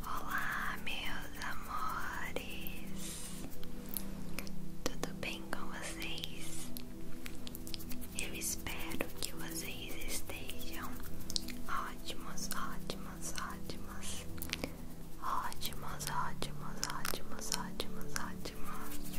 Olá, meus amores, tudo bem com vocês? Eu espero que vocês estejam ótimos, ótimos, ótimos, ótimos, ótimos, ótimos, ótimos, ótimos.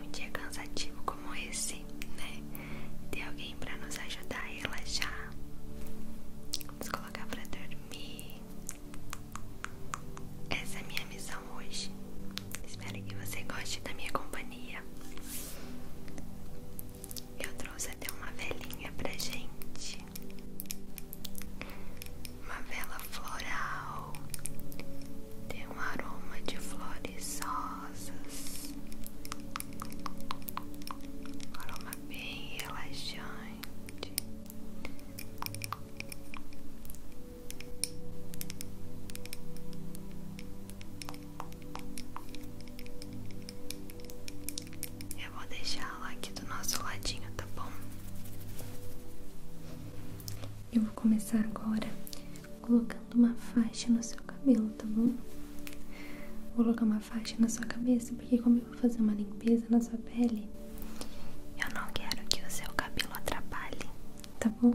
um dia é cansativo como esse, né? Ter alguém pra nos ajudar a relaxar. Vamos colocar pra dormir. Essa é a minha missão hoje. Espero que você goste da minha companhia. Eu trouxe até uma velhinha pra gente uma vela floral, tem um aroma de flores rosas, aroma bem relaxante. Eu vou deixá-la aqui do nosso ladinho, tá bom? Eu vou começar agora colocando uma faixa no seu cabelo, tá bom? Vou colocar uma faixa na sua cabeça, porque como eu vou fazer uma limpeza na sua pele, eu não quero que o seu cabelo atrapalhe, tá bom?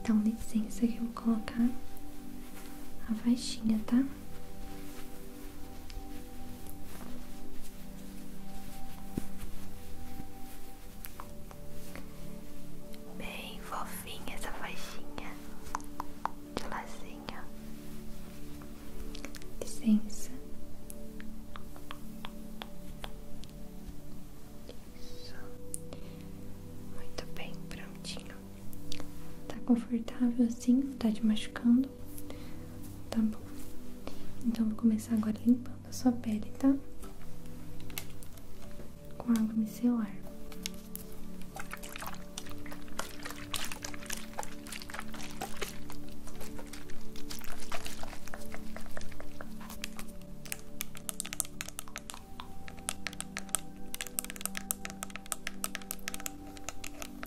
Então licença que eu vou colocar a faixinha, tá? Bem fofinha essa faixinha de lacinho. Licença. Isso. Muito bem, prontinho. Tá confortável assim? Tá te machucando? tá bom? Então vou começar agora limpando a sua pele, tá? Com água micelar.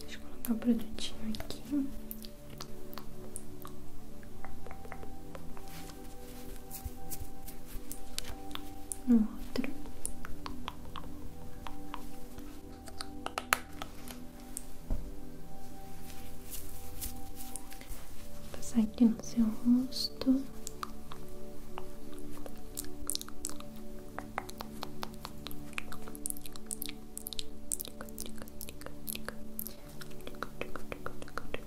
Deixa eu colocar o produtinho aqui no outro, Vou passar aqui no seu rosto.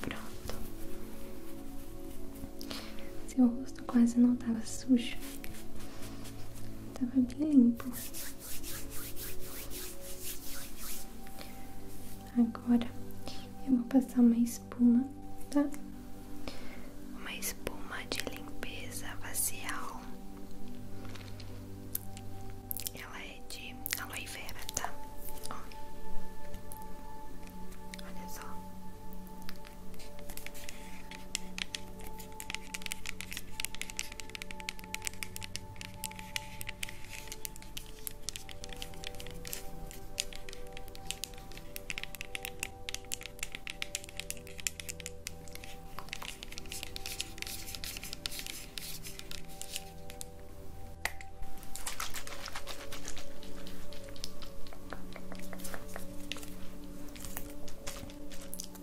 Pronto. Seu rosto quase não estava sujo. Tava bem limpo. Agora eu vou passar uma espuma, tá? Uma espuma de limpeza facial. Ela ela é de aloe tá? Olha só.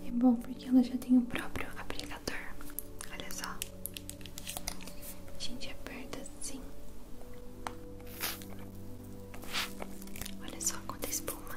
É bom porque ela já tem o próprio apligador. Olha só. A gente aperta assim. Olha só quanta espuma.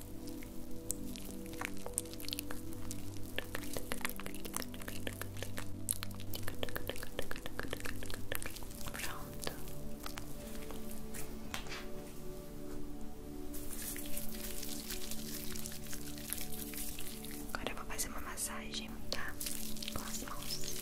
Pronto. Agora vou fazer uma massagem, tá? Com as mãos.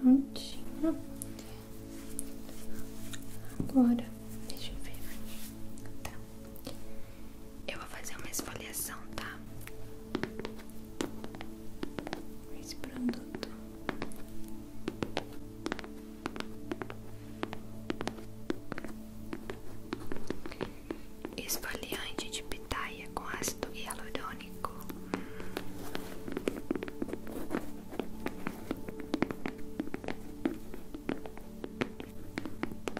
Prontinho. Agora, deixa eu ver. Tá. Eu vou fazer uma esfoliação, tá? esse produto. Esfoliante de pitaia com ácido hialurônico.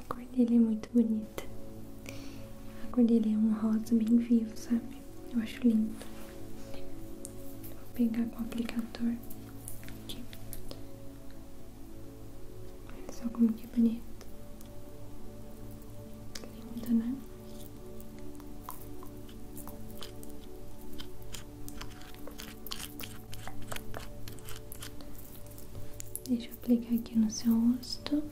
A cor dele é muito bonita. A cor dele é um rosa bem vivo, sabe? Eu acho lindo. Vou pegar com o aplicador Olha só como que bonito. Lindo, né? Deixa eu aplicar aqui no seu rosto.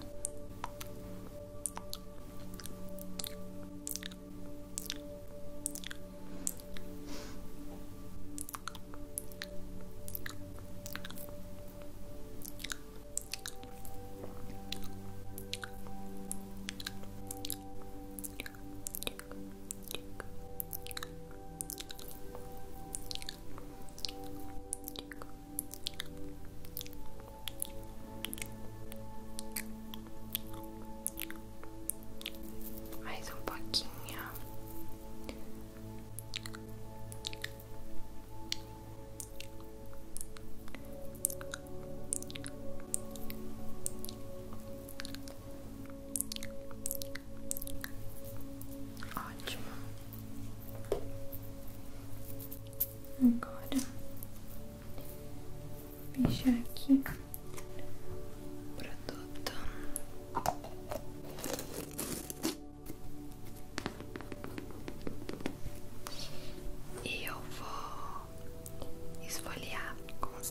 Mais um pouquinho. Ótimo. Agora vou fechar aqui o produto. E eu vou esfoliar com os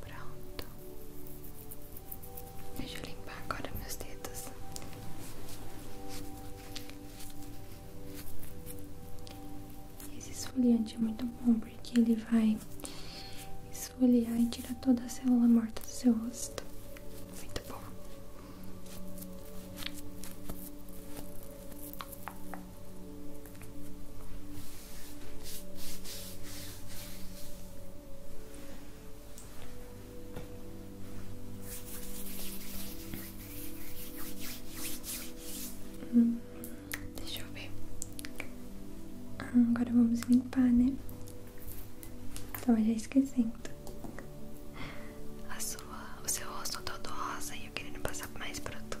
Pronto. Deixa eu limpar agora meus dedos. Esse esfoliante é muito bom porque ele vai esfoliar e tira toda a célula morta do seu rosto. Muito bom deixa eu ver. Ah, agora vamos limpar, né? estava já esquecendo. A sua, o seu rosto todo rosa e eu querendo passar mais produto.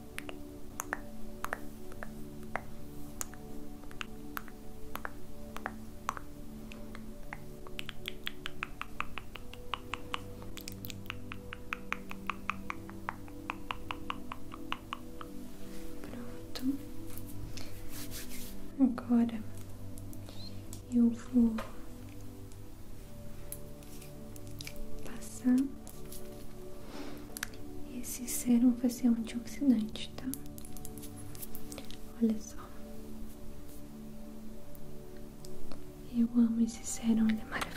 Pronto. Agora eu vou passar esse sérum vai ser um antioxidante, tá? Olha só. Eu amo esse sérum, ele é maravilhoso.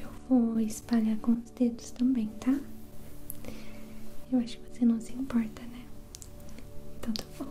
Eu vou espalhar com os dedos também, tá? Eu acho que você não se importa, né? Então tá bom.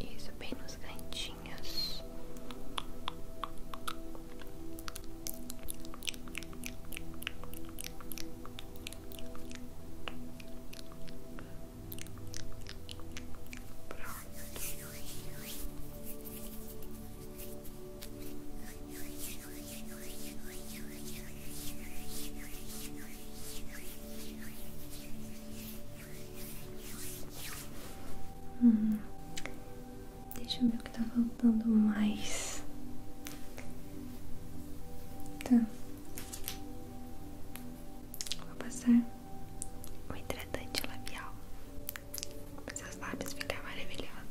Isso, bem nos cantinhos. Hum, deixa eu ver o que está faltando mais. Tá. Vou passar um hidratante labial. Para seus lábios ficarem maravilhosos.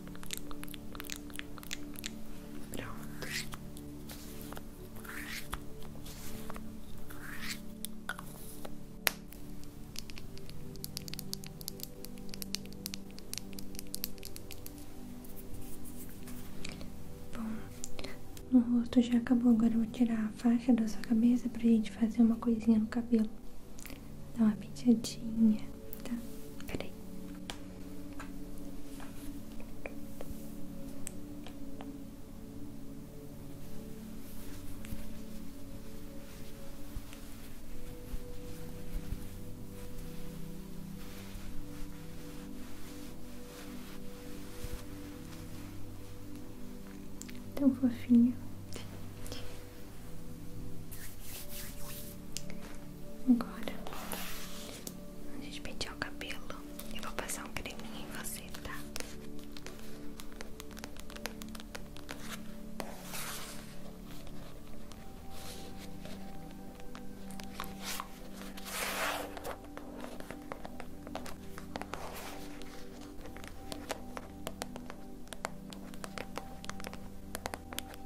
Pronto. Bom, no rosto já acabou. Agora eu vou tirar a faixa da sua cabeça para a gente fazer uma coisinha no cabelo. Dá uma penteadinha, tá? Peraí. Tão fofinha. Agora a gente pentear o cabelo. Eu vou passar um creminho em você, tá?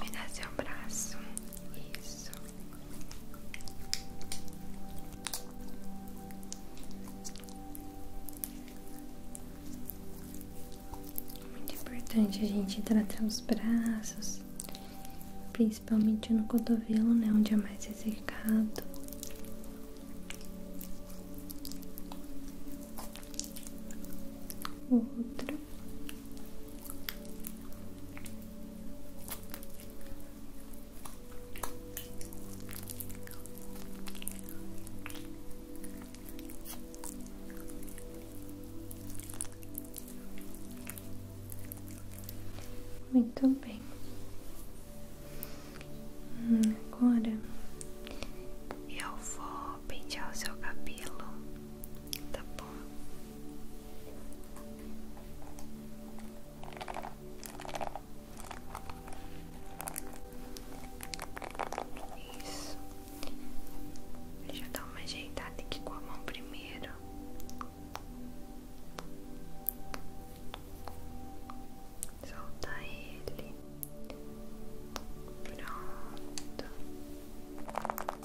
Me dá seu braço, isso. Muito importante a gente tratar os braços, principalmente no cotovelo, né? Onde é mais ressecado. Outro. Muito bem. Hum, agora eu vou pentear o seu cabelo, tá bom? Isso. Deixa eu dar uma ajeitada aqui com a mão primeiro. Soltar ele. Pronto. Pronto,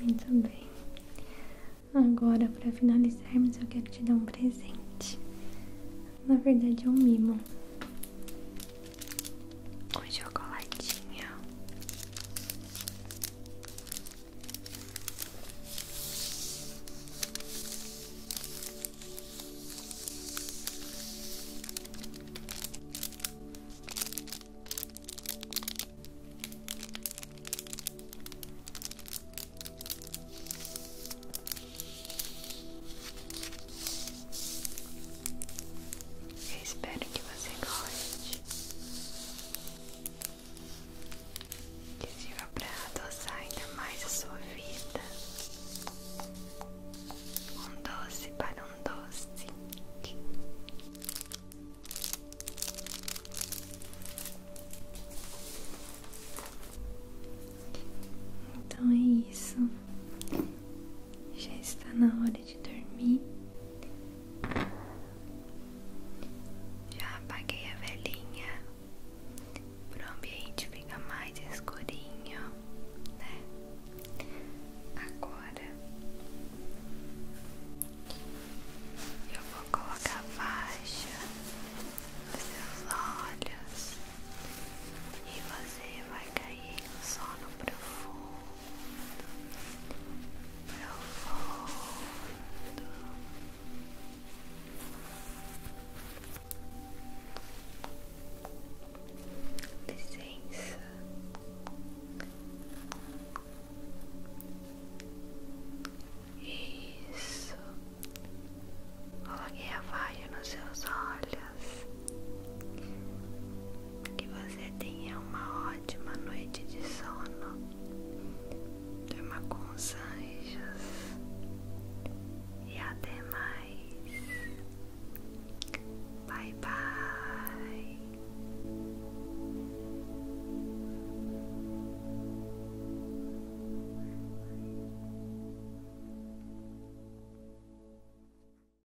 Muito bem. Agora, para finalizarmos, eu quero te dar um presente. Na verdade, é um mimo. Com chocolatinho. Eu espero que você goste que sirva para adoçar ainda mais a sua vida. Um doce para um doce. Então é isso. Já está na hora de dormir. Já apaguei a velhinha para o ambiente fica mais escurinho, né? Agora eu vou colocar a faixa nos seus olhos e você vai cair no sono profundo profundo. Licença. Isso. Coloquei a vaga nos seus olhos. Que você tenha uma ótima noite de sono. Durma com os anjos. E até mais. Bye bye.